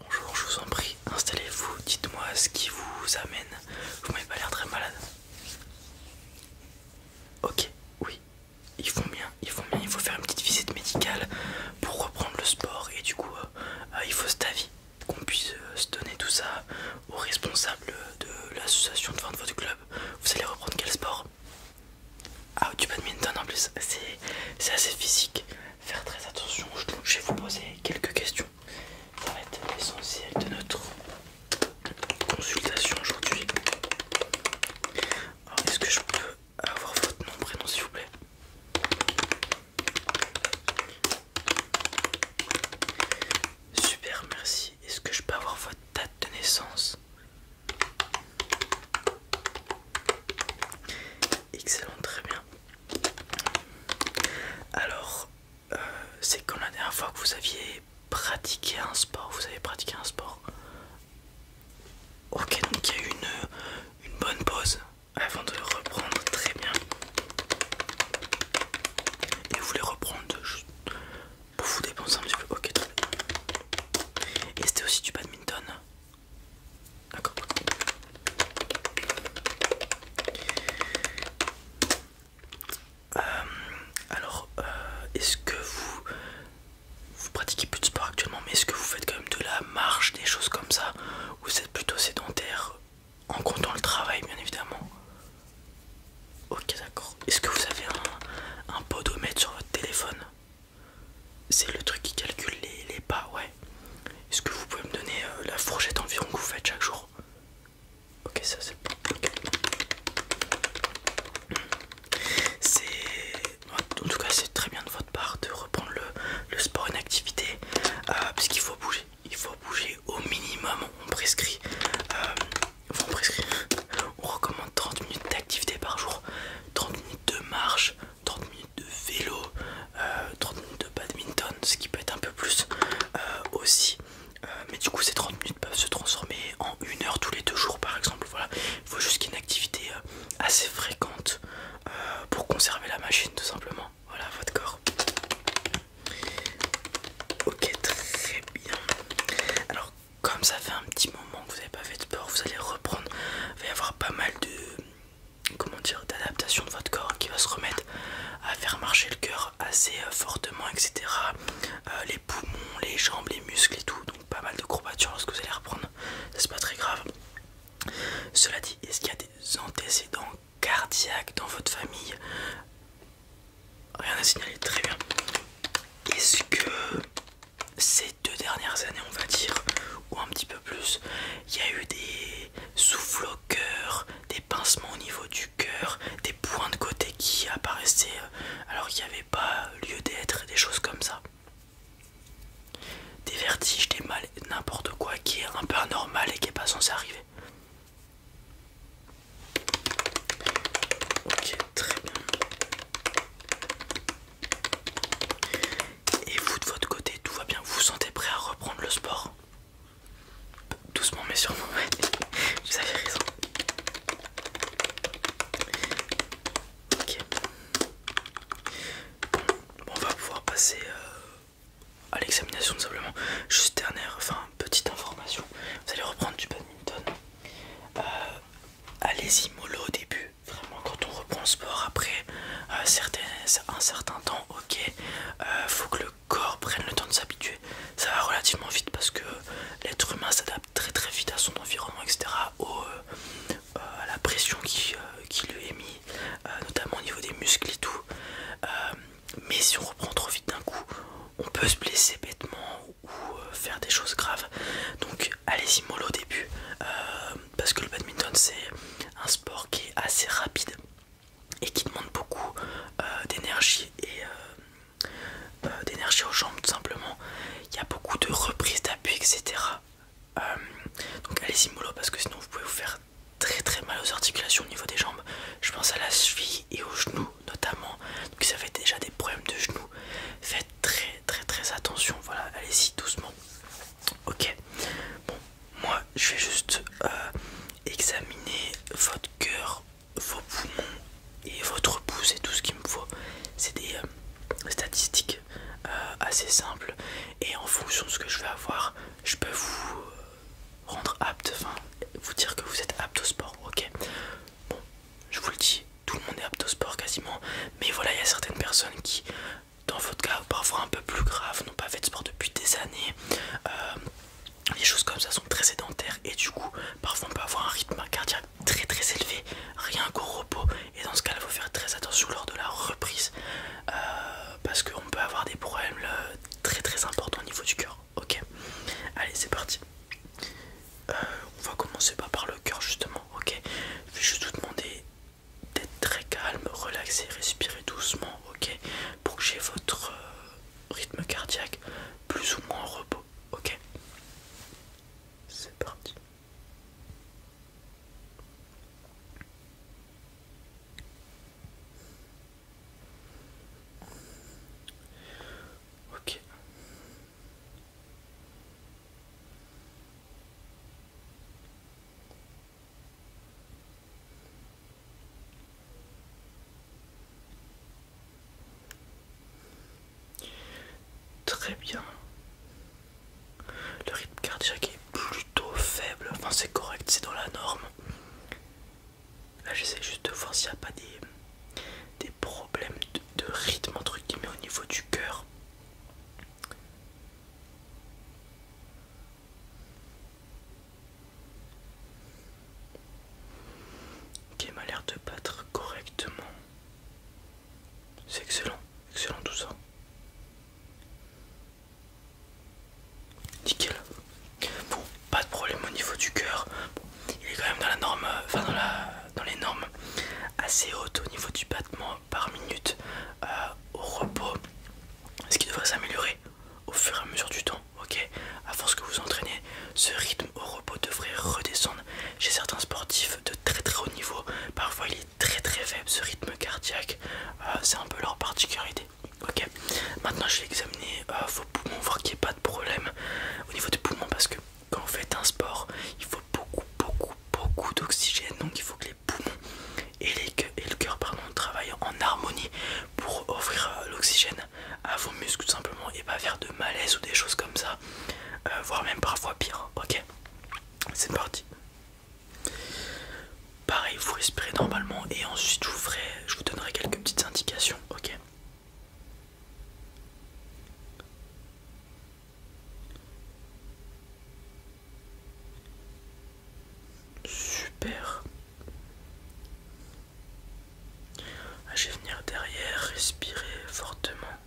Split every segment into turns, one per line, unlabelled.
Bonjour, je vous en prie, installez-vous, dites-moi ce qui vous amène. Vous m'avez pas l'air très malade. Ok, oui, ils font bien, ils font bien, il faut faire une petite visite médicale pour reprendre le sport et du coup euh, euh, il faut cet avis qu'on puisse euh, se donner tout ça aux responsables de l'association de, vente de votre club. Vous allez reprendre quel sport Ah tu du badminton en plus, c'est assez physique faire très attention. Je vais vous poser quelques questions. Ça va être l'essentiel de notre consultation aujourd'hui. Est-ce que je peux avoir votre nom, prénom s'il vous plaît Super, merci. Est-ce que je peux avoir votre date de naissance Excellent, très bien. Alors, euh, c'est comme la dernière fois que vous aviez pratiqué un sport Vous avez pratiqué un sport Ok, donc il y a eu une, bonne pause avant de le reprendre, très bien. Et vous les reprendre pour vous dépenser un petit peu Ok, très bien. Et c'était aussi du badminton D'accord. Euh, alors, euh, est-ce que vous vous pratiquez plus de sport actuellement, mais est-ce que vous faites quand même de la marche, des choses comme ça, ou vous êtes plutôt sédentaire en comptant le travail, bien évidemment Ok, d'accord. Est-ce que vous avez un, un podomètre sur votre téléphone c'est le truc qui calcule les, pas, ouais. Est-ce que vous pouvez me donner euh, la fourchette environ que vous faites chaque jour Ok, ça c'est C'est. En tout cas, c'est très bien de votre part de reprendre le, sport, une activité, euh, parce qu'il faut bouger. Il faut bouger au minimum. On prescrit. Euh, on prescrit. On recommande 30 minutes d'activité par jour, 30 minutes de marche, 30 minutes de vélo, 30 euh, minutes de badminton, ce qui peut être un peu plus euh, aussi. Euh, mais du coup, ces 30 minutes peuvent se transformer en une heure tous les deux jours, par exemple. Voilà, il faut juste qu'il y ait une activité assez fréquente pour conserver la machine, tout simplement. Voilà, votre corps. Ok, très bien. Alors, comme ça fait un petit moment que vous n'avez pas fait de sport, vous allez reprendre. Il va y avoir pas mal de comment dire d'adaptation de votre corps hein, qui va se remettre à faire marcher le cœur assez euh, fortement, etc. Euh, les poumons, les jambes, les muscles et tout. Donc pas mal de courbatures lorsque vous allez reprendre. Ça c'est pas très grave. Cela dit, est-ce qu'il y a des antécédents cardiaques dans votre famille Rien à signaler, très bien. Est-ce que ces deux dernières années, on va dire, ou un petit peu plus, il y a eu des souffles au cœur, des pincements au niveau du cœur, des points de côté qui apparaissaient euh, alors qu'il n'y avait pas lieu d'être, des choses comme ça. Des vertiges, des mal, n'importe quoi qui est un peu anormal et qui n'est pas censé arriver. Ok, très bien. Et vous de votre côté, tout va bien Vous vous sentez prêt à reprendre le sport Doucement mais sûrement, vous avez raison. Ok. Bon, on va pouvoir passer euh, à l'examination tout simplement. Juste dernière, enfin petite information. Vous allez reprendre du badminton. Euh, allez-y mollo au début, Vraiment, quand on reprend le sport après euh, un certain temps, ok, euh, faut que le corps prenne le temps de s'habituer. Ça va relativement vite parce que l'être humain s'adapte très très vite à son environnement, etc. Euh, à la pression qui, lui est mise, notamment au niveau des muscles et tout. mais si on reprend trop vite d'un coup, on peut se blesser bêtement ou euh, faire des choses graves. Donc allez-y mollo au début, euh, parce que le badminton c'est un sport qui est assez rapide et qui demande beaucoup euh, d'énergie et d'énergie aux jambes tout simplement. Il y a beaucoup de reprises d'appui, etc. donc allez-y mollo parce que sinon vous pouvez vous faire très très mal aux articulations au niveau des jambes. Je pense à la cheville et aux genoux notamment. Donc ça vous déjà des problèmes de genoux, faites très très très attention. Voilà, allez-y doucement. Ok. Bon, moi je vais juste euh, examiner votre cœur, vos poumons et votre pouce et tout ce qu'il me faut. C'est des euh, statistiques euh, assez simples et en fonction de ce que je vais avoir, je peux vous rendre apte, enfin vous dire que vous êtes apte au sport. Ok. Bon, je vous le dis tout le monde est apte au sport quasiment, mais voilà, il y a certaines personnes qui, dans votre cas, parfois un peu plus grave, n'ont pas fait de sport depuis des années. Euh, les choses comme ça sont très sédentaires et du coup, parfois on peut avoir un rythme cardiaque très très élevé, rien qu'au repos. Et dans ce cas-là, il faut faire très attention lors de la reprise euh, parce qu'on peut avoir des problèmes euh, très très importants au niveau du cœur. Ok, allez, c'est parti. Euh, on va commencer par le cœur justement, ok Je vais juste vous demander d'être très calme, relaxé, respirer doucement, ok Pour que j'ai votre euh, rythme cardiaque plus ou moins en repos, ok C'est parti. Ok, Très bien. Le rythme cardiaque est plutôt faible, enfin c'est correct, c'est dans la norme. Là j'essaie juste de voir s'il n'y a pas des des problèmes de, rythme entre guillemets au niveau du cœur. Qui m'a l'air de battre correctement. C'est excellent, excellent tout ça. Nickel. Bon, pas de problème au niveau du cœur il est quand même dans la norme, euh, enfin dans, les normes assez hautes au niveau du battement par minute euh, au repos, ce qui devrait s'améliorer au fur et à mesure du temps. Ok, à force que vous entraînez, ce rythme au repos devrait redescendre. Chez certains sportifs de très très haut niveau, parfois il est très très faible ce rythme cardiaque. Euh, c'est un peu leur particularité. Ok, maintenant je vais examiner vos poumons, voir qu'il n'y ait pas de problème au niveau des poumons parce que quand vous faites un sport, il faut beaucoup, beaucoup, beaucoup d'oxygène. Donc il faut que les poumons et, le cœur pardon, travaillent en harmonie pour offrir euh, l'oxygène à vos muscles tout simplement et pas faire de malaise ou des choses comme ça, euh, voire même parfois pire. Ok, c'est parti. Pareil, vous respirez normalement et ensuite je vous je vous donnerai quelques petites indications. Ok. Super. Ah, je vais venir derrière, respirer fortement.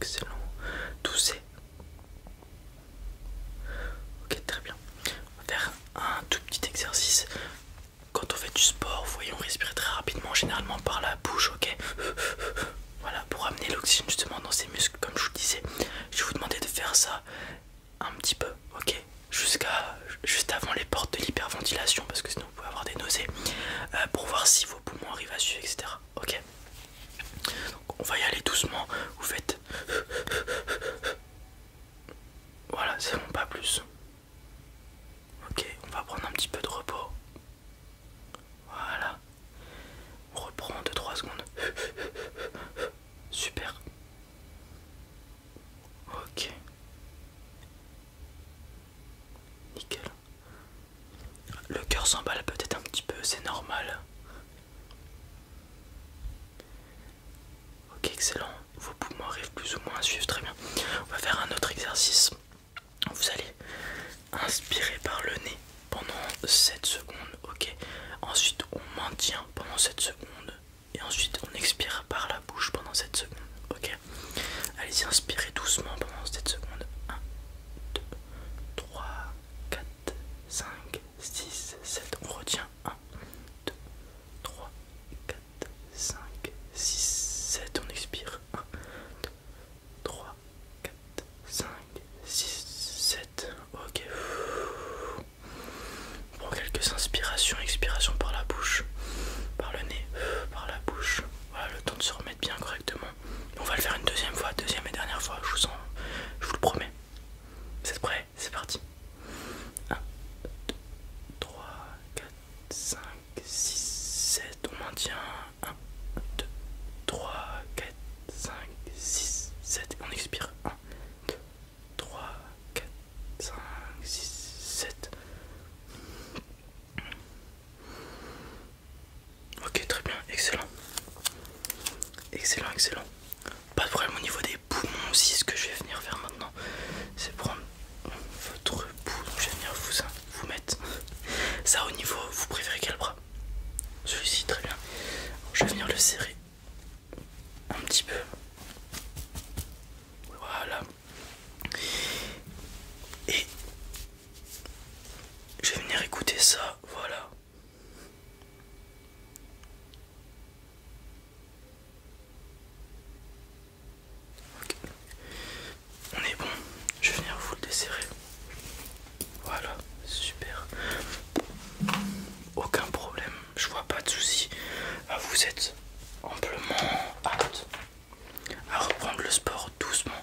Excellent. Toussez. Ok, très bien. On va faire un tout petit exercice. Quand on fait du sport, vous voyez, on très rapidement, généralement par la bouche, ok Voilà, pour amener l'oxygène justement dans ces muscles, comme je vous disais. Je vais vous demander de faire ça un petit peu, ok Jusqu'à juste avant les portes de l'hyperventilation, parce que sinon vous pouvez avoir des nausées, euh, pour voir si vos poumons arrivent à suivre, etc ok on va y aller doucement vous faites voilà c'est bon pas plus ok on va prendre un petit peu de repos voilà on reprend 2-3 secondes super ok nickel le cœur s'emballe peut-être un petit peu, c'est normal. Ok, excellent. Vos poumons arrivent plus ou moins à suivre, très bien. On va faire un autre exercice. Vous allez inspirer par le nez pendant 7 secondes, ok. Ensuite, on maintient pendant 7 secondes. Et ensuite, on expire par la bouche pendant 7 secondes, ok. Allez-y, inspirez doucement pendant 7 secondes. 1, 2, 3, 4, 5, 6, 7. On retient 1, 2, 3, 4, 5, 6, 7. On expire 1, 2, 3, 4, 5, 6, 7. Ok. On quelques inspirations, expiration par la bouche, par le nez, par la bouche. Voilà, le temps de se remettre bien correctement. On va le faire une deuxième fois, deuxième et dernière fois, je vous, sens, je vous le promets. Vous êtes prêts C'est parti. 1, 2, 3, 4, 5, 6, 7. On maintient. 1, 2, 3, 4, 5, 6, 7. On expire. 1, 2, 3, 4, 5, 6, 7. Ok, très bien, excellent. Excellent, excellent. Pas de problème au niveau des poumons aussi, ce que je vais venir faire maintenant, c'est prendre votre poumon. Je vais venir vous, vous mettre ça au niveau, vous préférez quel bras Celui-ci, très bien. Je vais venir le serrer un petit peu. Voilà. Et je vais venir écouter ça, voilà. On est bon, je vais venir vous le desserrer. Voilà, super. Aucun problème, je vois pas de souci. Ah, vous êtes amplement apte à reprendre le sport doucement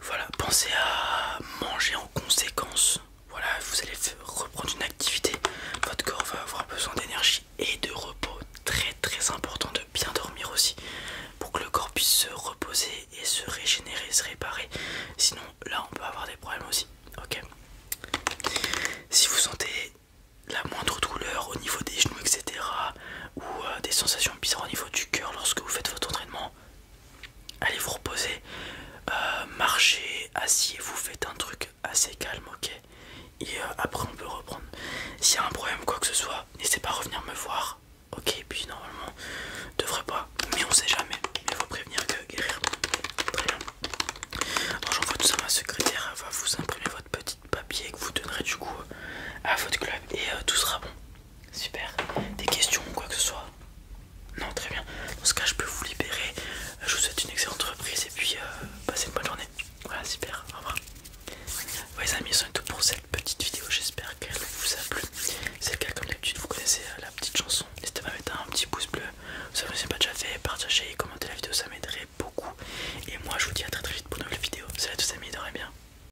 Voilà, pensez à manger en conséquence. Voilà, vous allez reprendre une activité. Votre corps va avoir besoin d'énergie et de repos. Très très important de bien dormir aussi pour que le corps puisse se reposer et se régénérer, se réparer. Sinon, là, on peut avoir des problèmes aussi. Si vous sentez la moindre douleur au niveau des genoux, etc., ou euh, des sensations bizarres au niveau du cœur lorsque vous faites votre entraînement, allez vous reposer, euh, marchez, assis, vous faites un truc assez calme, ok Et euh, après on peut reprendre. S'il y a un problème, quoi que ce soit, n'hésitez pas à revenir me voir, ok Et puis normalement, devrait pas, mais on sait jamais. Il faut prévenir que guérir. Très j'envoie tout ça à ma secrétaire, elle va vous imprimer votre petit papier que vous donnerez du coup à votre club et euh, tout sera bon. Super. Des questions ou quoi que ce soit Non, très bien. Dans ce cas, je peux vous libérer. Euh, je vous souhaite une excellente reprise et puis euh, passez une bonne journée. Voilà, super. Au revoir. Ouais, les amis, c'est tout pour cette petite vidéo. J'espère qu'elle vous a plu. C'est le cas, comme d'habitude, vous connaissez euh, la petite chanson. N'hésitez pas à mettre un petit pouce bleu. Si vous ne l'avez pas déjà fait, partagez et commentez la vidéo, ça m'aiderait beaucoup. Et moi, je vous dis à très très vite pour une nouvelle vidéo. Salut à tous, amis, bien.